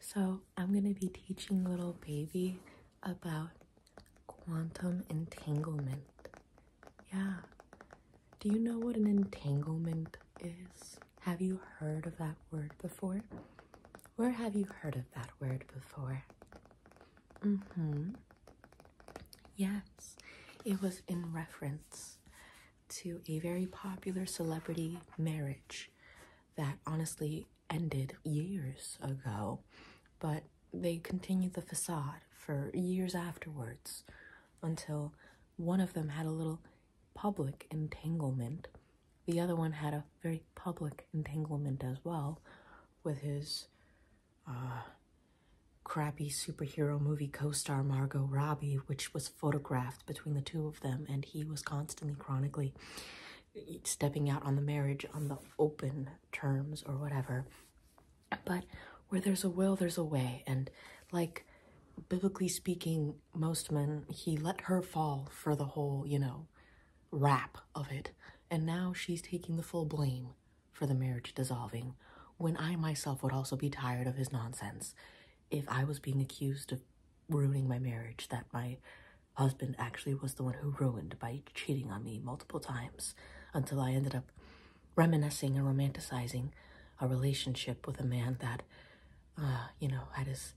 So, I'm going to be teaching little baby about quantum entanglement. Yeah. Do you know what an entanglement is? Have you heard of that word before? Where have you heard of that word before? Mm hmm. Yes, it was in reference to a very popular celebrity marriage that honestly ended years ago, but they continued the facade for years afterwards until one of them had a little public entanglement. The other one had a very public entanglement as well with his uh, crappy superhero movie co star Margot Robbie, which was photographed between the two of them, and he was constantly chronically stepping out on the marriage on the open terms or whatever. But where there's a will, there's a way. And like, biblically speaking, most men, he let her fall for the whole, you know, wrap of it. And now she's taking the full blame for the marriage dissolving when I myself would also be tired of his nonsense if I was being accused of ruining my marriage that my husband actually was the one who ruined by cheating on me multiple times until I ended up reminiscing and romanticizing a relationship with a man that, uh, you know, had his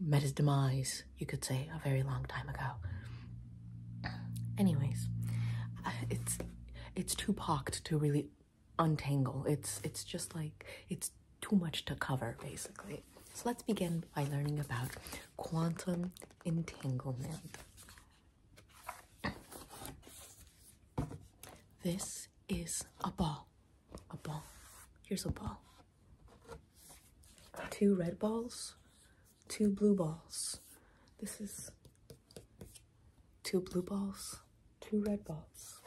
met his demise, you could say, a very long time ago. Anyways, it's it's too packed to really untangle. It's it's just like it's too much to cover basically. So let's begin by learning about quantum entanglement. This is a ball. A ball. Here's a ball. Two red balls, two blue balls. This is two blue balls, two red balls.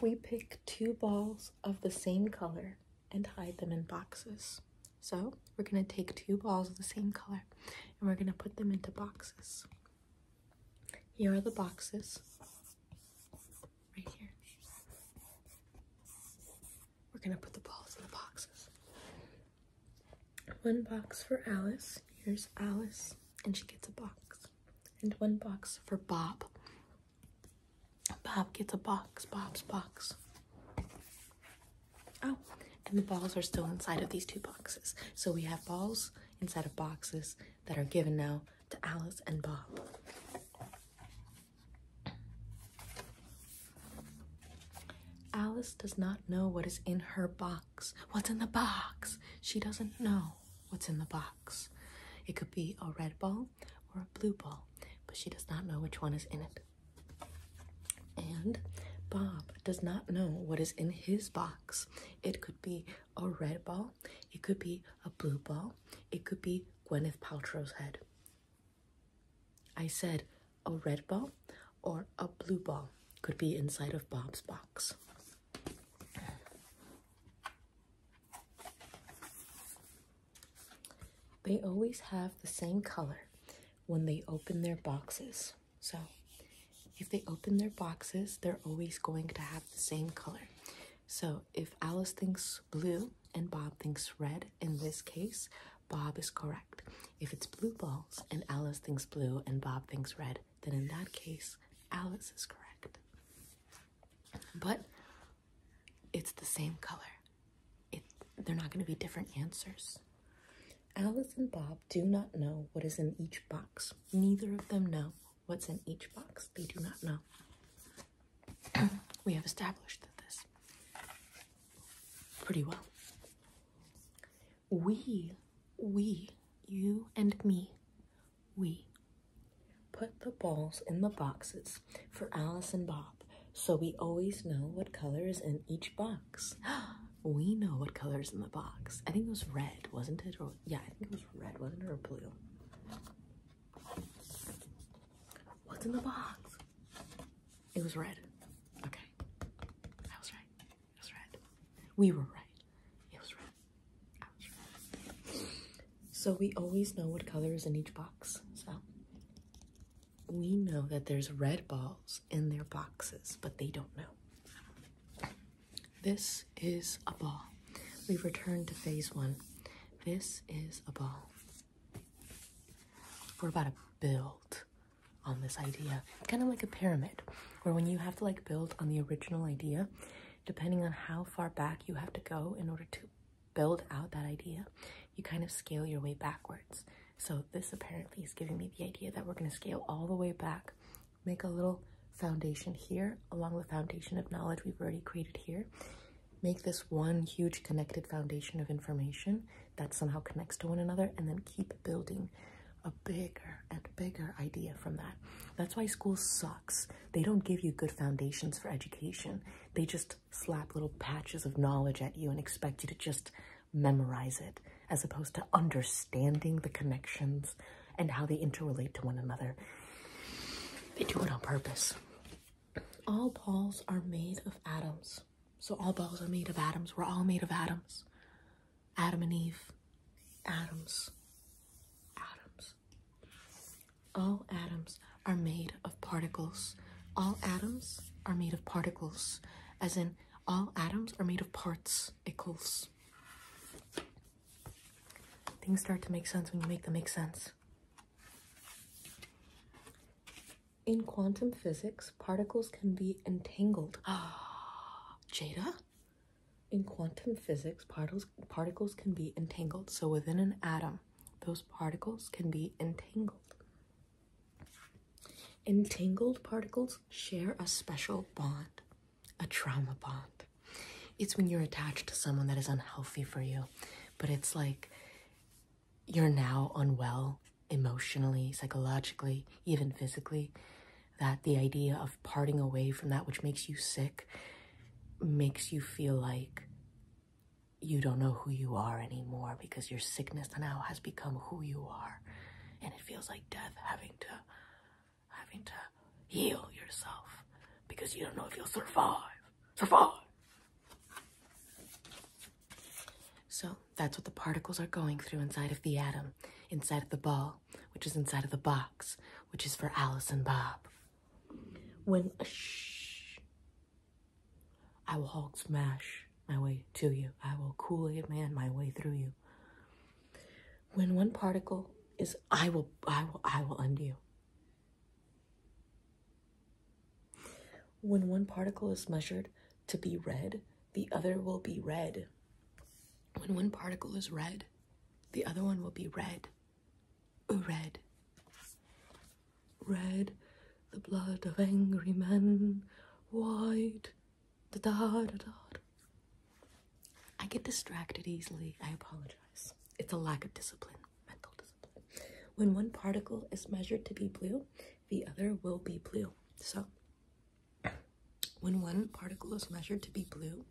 We pick two balls of the same color and hide them in boxes. So we're going to take two balls of the same color and we're going to put them into boxes. Here are the boxes. Right here we're gonna put the balls in the boxes. One box for Alice. Here's Alice, and she gets a box. And one box for Bob. Bob gets a box, Bob's box. Oh, and the balls are still inside of these two boxes. So we have balls inside of boxes that are given now to Alice and Bob. Alice does not know what is in her box. What's in the box? She doesn't know what's in the box. It could be a red ball or a blue ball, but she does not know which one is in it. And Bob does not know what is in his box. It could be a red ball, it could be a blue ball, it could be Gwyneth Paltrow's head. I said a red ball or a blue ball could be inside of Bob's box. They always have the same color when they open their boxes. So if they open their boxes, they're always going to have the same color. So if Alice thinks blue and Bob thinks red, in this case, Bob is correct. If it's blue balls and Alice thinks blue and Bob thinks red, then in that case, Alice is correct. But it's the same color. It, they're not going to be different answers. Alice and Bob do not know what is in each box. Neither of them know What's in each box, they do not know. we have established this pretty well. We, we, you and me, we put the balls in the boxes for Alice and Bob so we always know what color is in each box. we know what color is in the box. I think it was red, wasn't it? yeah, I think it was red, wasn't it? Or blue. What's in the box? It was red. Okay. that was right. It was red. We were right. It was red. I was right. So we always know what color is in each box. So we know that there's red balls in their boxes, but they don't know. This is a ball. We return to phase one. This is a ball. We're about to build on this idea, kind of like a pyramid, where when you have to like build on the original idea, depending on how far back you have to go in order to build out that idea, you kind of scale your way backwards. So this apparently is giving me the idea that we're going to scale all the way back make a little foundation here along the foundation of knowledge we've already created here. Make this one huge connected foundation of information that somehow connects to one another, and then keep building a bigger and bigger idea from that. That's why school sucks. They don't give you good foundations for education, they just slap little patches of knowledge at you and expect you to just memorize it, as opposed to understanding the connections and how they interrelate to one another. They do it on purpose. All balls are made of atoms. So all balls are made of atoms. We're all made of atoms. Adam and Eve. Atoms. Atoms. All atoms are made of particles. All atoms are made of particles. As in, all atoms are made of parts. Equals. Things start to make sense when you make them make sense. In quantum physics, particles can be entangled. Jada? In quantum physics, particles, particles can be entangled. So within an atom, those particles can be entangled. Entangled particles share a special bond a trauma bond. It's when you're attached to someone that is unhealthy for you, but it's like you're now unwell emotionally, psychologically, even physically, that the idea of parting away from that which makes you sick makes you feel like you don't know who you are anymore because your sickness now has become who you are. And it feels like death having to having to heal yourself because you don't know if you'll survive. Survive! So that's what the particles are going through inside of the atom, inside of the ball, which is inside of the box, which is for Alice and Bob. When a shh, I will Hulk smash my way to you. I will Kool Aid man my way through you when one particle is I will I will I will undo When one particle is measured to be red, the other will be red. When one particle is red, the other one will be red. Red. Red, the blood of angry men, white I get distracted easily. I apologize. It's a lack of discipline, mental discipline. When one particle is measured to be blue, the other will be blue. So, when one particle is measured to be blue,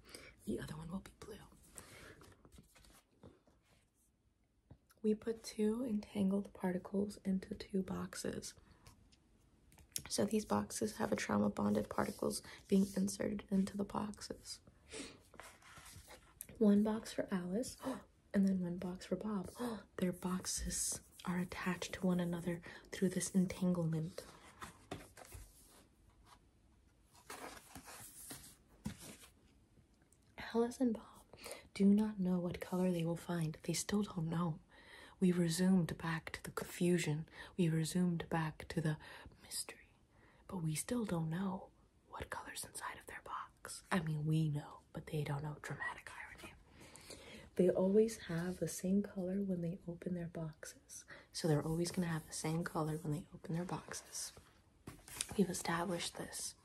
the other one will be blue. We put two entangled particles into two boxes. So these boxes have a trauma bonded particles being inserted into the boxes. One box for Alice and then one box for Bob. Their boxes are attached to one another through this entanglement. Alice and Bob do not know what color they will find. They still don't know. We resumed back to the confusion. We resumed back to the mystery. But we still don't know what color's inside of their box. I mean, we know, but they don't know dramatic irony. They always have the same color when they open their boxes. So they're always going to have the same color when they open their boxes. We've established this.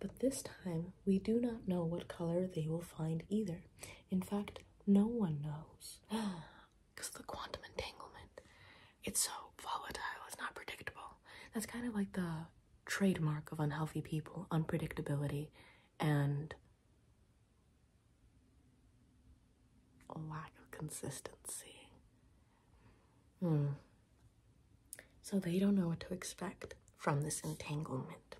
But this time, we do not know what color they will find either. In fact, no one knows. Because the quantum entanglement, it's so volatile, it's not predictable. That's kind of like the trademark of unhealthy people unpredictability and lack of consistency. Hmm. So they don't know what to expect from this entanglement.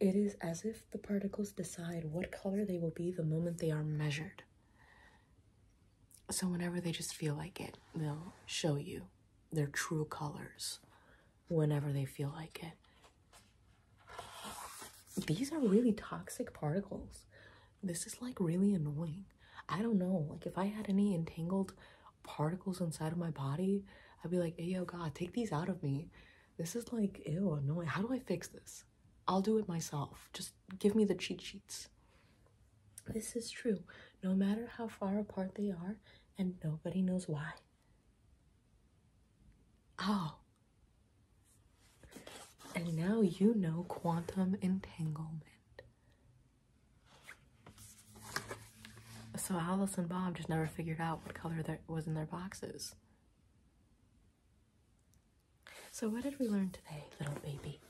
It is as if the particles decide what color they will be the moment they are measured. So, whenever they just feel like it, they'll show you their true colors whenever they feel like it. These are really toxic particles. This is like really annoying. I don't know. Like if I had any entangled particles inside of my body, I'd be like, hey, God, take these out of me. This is like, ew, annoying. How do I fix this? I'll do it myself. Just give me the cheat sheets. This is true, no matter how far apart they are, and nobody knows why. Oh. And now you know quantum entanglement. So Alice and Bob just never figured out what color that was in their boxes. So what did we learn today, little baby?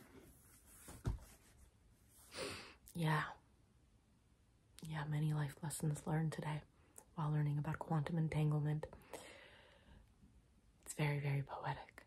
Yeah. Yeah, many life lessons learned today while learning about quantum entanglement. It's very, very poetic.